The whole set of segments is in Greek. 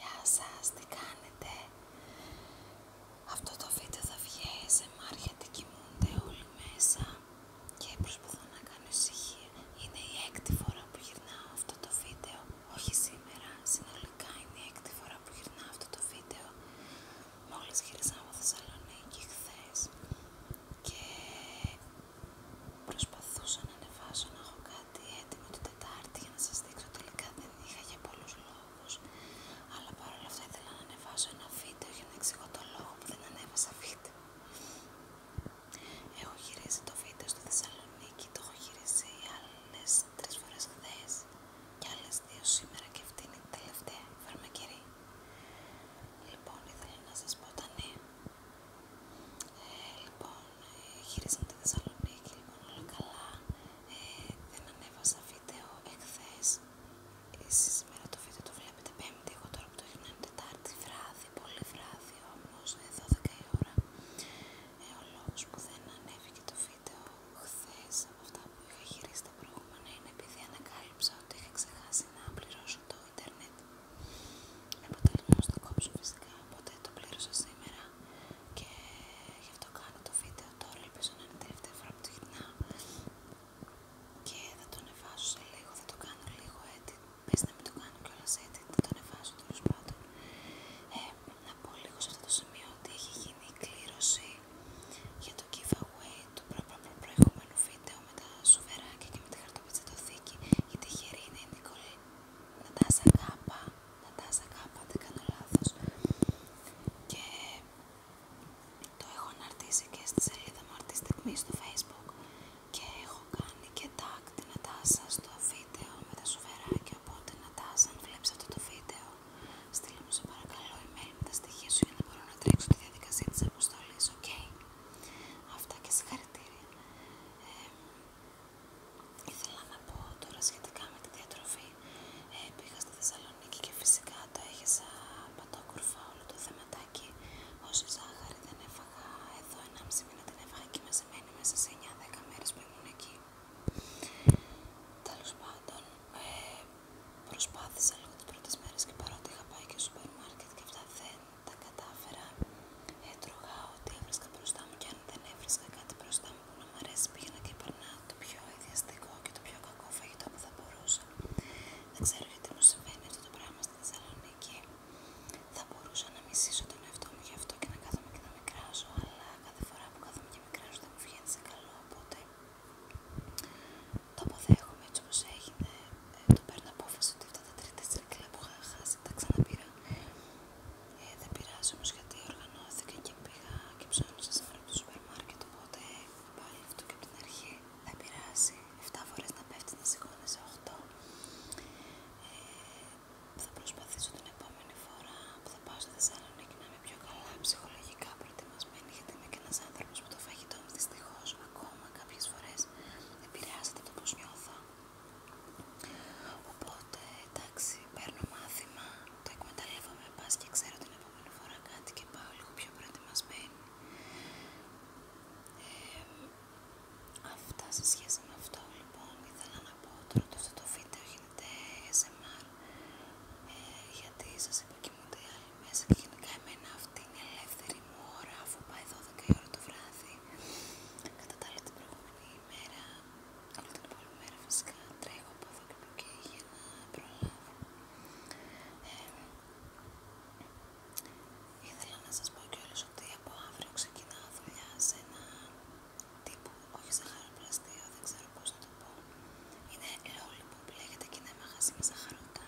Γεια σας, τι κάνετε Αυτό το βίντεο θα βγαίνει σε μάρια και κοιμούνται όλοι μέσα και προσπαθώ να κάνω ησυχία Είναι η έκτη φορά που γυρνάω αυτό το βίντεο Όχι σήμερα, συνολικά είναι η έκτη φορά που γυρνάω αυτό το βίντεο Μόλις γύρισα από Θεσσαλονίκη χθε και προσπαθούσα να ανεβάσω να έχω κάτι γιατί έτοιμο το Τετάρτη για να σας δείξω τελικά δεν είχα για πολλούς λόγους αλλά παρόλα αυτά ήθελα να ανεβάσω ένα βίντεο για να εξηγώ το λόγο που δεν ανέβασα βίντεο Έχω γυρίσει το βίντεο στο Θεσσαλονίκη, το έχω γυρίσει άλλες τρεις φορές χθες και άλλες δύο σήμερα και αυτή είναι η τελευταία φαρμακερή Λοιπόν, ήθελα να σας πω τα ναι. Λοιπόν, ε, λοιπόν, γυρίσαμε τη Θεσσαλονίκη, λοιπόν, όλα καλά. Ε, δεν ανέβασα βίντεο εχθές. Εσείς σήμερα το βίντεο το βλέπετε πέμπτη, εγώ τώρα που το είναι τετάρτη βράδυ, πολύ βράδυ όμως, 12 ε, η ώρα. Ε, ο λόγος που δεν ανέβηκε το βίντεο χθες από αυτά που είχα γυρίσει τα προηγούμενα είναι επειδή ανακάλυψα ότι είχα ξεχάσει να πληρώσω το ίντερνετ. Με αποτέλεσμα να το κόψω φυσικά, οπότε το πλήρωσα σήμερα και γι' αυτό κάνω το βίντεο τώρα. Ελπίζω να είναι η τελευταία φορά που το γυρνάω και θα το ανεβάσω σε λίγο, θα το κάνω λίγο edit. Πες να μην το κάνω κιόλα edit, θα το ανεβάσω τέλο πάντων. Ε, να πω λίγο σε αυτό το σημείο ότι έχει γίνει η κλήρωση για το giveaway του προηγούμενου βίντεο με τα σουβεράκια και με τη χαρτοπετσετοθήκη η τυχερή είναι η Νικολή Νατάσα Κάπα Νατάσα Κάπα, δεν κάνω λάθος και το έχω αναρτήσει και στη σελίδα μου αυτή τη στιγμή στο facebook και έχω κάνει και tag την Νατάσα στο βίντεο με τα σουβεράκια οπότε Νατάσα αν βλέπεις αυτό το βίντεο στείλ μου σε παρακαλώ email με τα στοιχεία σου για να μπορώ να τρέξω τη διαδικασία της αποστολής, οκ? Αυτά και συγχαρητήρια ε, ήθελα να πω τώρα σχετικά με τη διατροφή. Ε, πήγα στη Θεσσαλονίκη και φυσικά το έχεσα πατόκουρφα όλο το θεματάκι. Όσο ζάχαρη δεν έφαγα εδώ 1,5 μήνα την έφαγα και μαζεμένη μέσα σε 9-10 μέρες που ήμουν εκεί. Τέλος πάντων, ε, προσπάθησα λίγο τις πρώτες μέρες και παρότι είχα πάει και στο σούπερ και αυτά τα κατάφερα, έτρωγα ό,τι έβρισκα μπροστά μου και αν δεν έβρισκα κάτι μπροστά μου που να μ' αρέσει πήγαινα και περνά το πιο ιδιαστικό και το πιο κακό φαγητό που θα μπορούσα. Δεν ξέρω γιατί μου συμβαίνει αυτό το πράγμα στην Θεσσαλονίκη. Θα μπορούσα να μισήσω τον εαυτό μου γι' αυτό και να κάθομαι και να μικράζω, αλλά κάθε φορά που κάθομαι και μικράζω δεν μου βγαίνει σε καλό, οπότε το αποδέχομαι έτσι όπως έγινε, ε, το παίρνω απόφαση ότι αυτά τα τρίτα τσιρκρία που είχα χάσει τα ξαναπήρα. Ε, δεν πειράζει όμως γιατί οργανώθηκα και πήγα και ψώνισα σε από το σούπερ μάρκετ, οπότε πάλι αυτό και από την αρχή δεν πειράζει. 7 φορές να πέφτει να σε 8. θα προσπαθήσω την επόμενη φορά που θα πάω στη Θεσσαλονίκη να είμαι πιο καλά ψυχολογικά γιατί είμαι και ένα άνθρωπο που το φαγητό μου δυστυχώ ακόμα κάποιε φορέ επηρεάζεται το πώ νιώθω. Οπότε εντάξει, παίρνω μάθημα, το εκμεταλλεύομαι πα και ξέρω την επόμενη φορά κάτι και πάω λίγο πιο προετοιμασμένη. Ε, αυτά σε σχέση με αυτό λοιπόν ήθελα να πω τώρα ότι αυτό το βίντεο γίνεται SMR ε, γιατί σας είπα κοιμούνται οι άλλοι μέσα και γενικά εμένα αυτή είναι η ελεύθερη μου ώρα αφού πάει 12 η ώρα το βράδυ κατά τα άλλα την προηγούμενη ημέρα όλη την επόμενη μέρα φυσικά τρέχω από εδώ και από εκεί για να προλάβω ε, Ήθελα να σας πω κιόλας ότι από αύριο ξεκινάω δουλειά σε ένα τύπο, όχι σε χαροπλαστείο, δεν ξέρω πώς να είναι Είναι που λέγεται και είναι μαγαζί με ζαχαρωτά.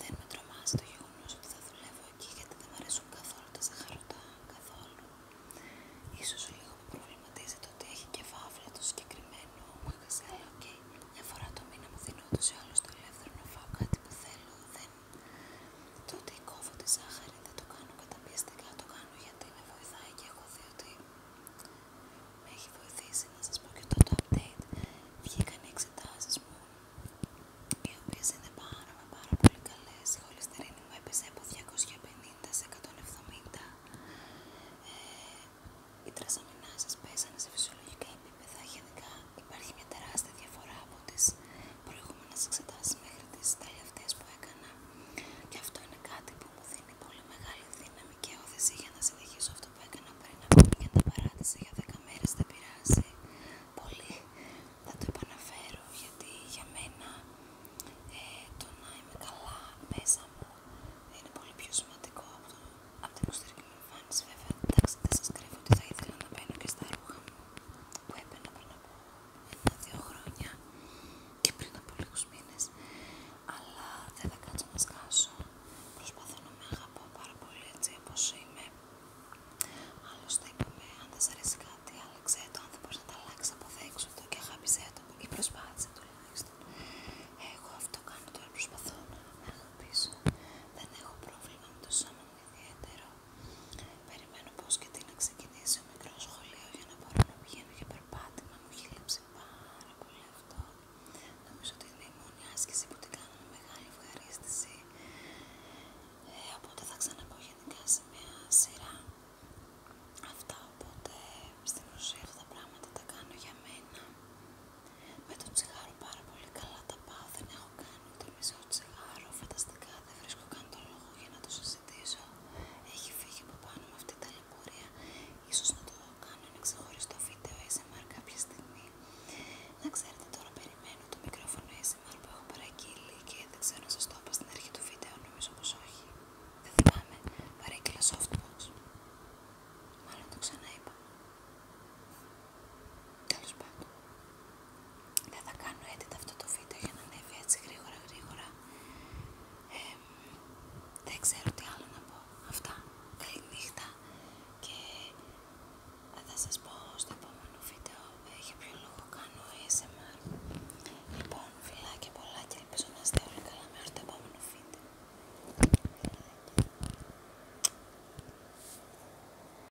Δεν με τρομάζει το γεγονό ότι θα δουλεύω εκεί γιατί δεν μου αρέσουν καθόλου τα ζαχαρωτά, καθόλου. Ίσως λίγο με προβληματίζει το ότι έχει και βάφλα το συγκεκριμένο μαγαζί, αλλά μια φορά το μήνα μου δίνει ούτως ή άλλως το ελεύθερο να φάω κάτι που θέλω. Δεν... Το ότι κόβω τη ζάχαρη δεν το κάνω καταπιεστικά, το κάνω γιατί με βοηθάει και έχω δει ότι με έχει βοηθήσει να σας πω και το update βγήκαν οι εξετάσεις μου οι οποίες είναι πάρα πολύ καλές η χολυστερίνη μου έπεσε από 250 σε 170 ε, οι τρασαμινάσεις πέσανε σε φυσιολογικά επίπεδα γενικά υπάρχει μια τεράστια διαφορά από τις προηγούμενες εξετάσεις μέχρι τις τελευταίες που έκανα και αυτό είναι κάτι που μου δίνει πολύ μεγάλη δύναμη και όθηση για να συνεχίσω αυτό που έκανα πριν και τα παράτησε για 10 μέρες δεν πειράζει πολύ θα το επαναφέρω γιατί για μένα ε, το να είμαι καλά μέσα μου είναι πολύ πιο σημαντικό από, το, από την εξωτερική μου εμφάνιση βέβαια εντάξει δεν σας κρύβω ότι θα ήθελα να μπαίνω και στα ρούχα μου που έπαιρνα πριν από δύο χρόνια και πριν από λίγους μήνες αλλά δεν θα κάτσω να σκάσω προσπαθώ να με αγαπώ πάρα πολύ έτσι όπως είμαι άλλωστε είπαμε αν δεν σ' αρέσει κάτι άλλαξέ το αν δεν μπορείς να τα αλλάξεις αποδέξου το και αγάπησέ το ή προσπάθησε τουλάχιστον εγώ αυτό κάνω τώρα προσπαθώ να με αγαπήσω δεν έχω πρόβλημα με το σώμα μου ιδιαίτερο Περιμένω πως και τι να ξεκινήσει ο μικρό σχολείο για να μπορώ να πηγαίνω για περπάτημα. Μου έχει λείψει πάρα πολύ αυτό. Νομίζω ότι είναι η μόνη άσκηση που την κάνω με μεγάλη ευχαρίστηση. Ε, οπότε θα ξαναπώ σε μια σειρά αυτά. Οπότε στην ουσία αυτά τα πράγματα τα κάνω για μένα. Με τον τσιγάρο πάρα πολύ καλά τα πάω. Δεν έχω κάνει Χτυπήσω το τσιγάρο, φανταστικά δεν βρίσκω καν τον λόγο για να το συζητήσω. Έχει φύγει από πάνω με αυτή η ταλαιπωρία. Ίσως να το κάνω ένα ξεχωριστό βίντεο ASMR κάποια στιγμή. Να ξέρετε τώρα περιμένω το μικρόφωνο ASMR που έχω παραγγείλει και δεν ξέρω αν σας το είπα στην αρχή του βίντεο, νομίζω πως όχι. Δεν θυμάμαι, παρέγγειλα softbox. Μάλλον το ξαναείπα. Τέλος πάντων. Δεν θα κάνω edit αυτό το βίντεο για να ανέβει έτσι γρήγορα γρήγορα. δεν ξέρω τι άλλο να πω. Αυτά. Καλή νύχτα και θα σας πω στο επόμενο βίντεο έχει ποιο λόγο κάνω ASMR. Λοιπόν, φιλάκια πολλά και ελπίζω να είστε όλοι καλά μέχρι το επόμενο βίντεο.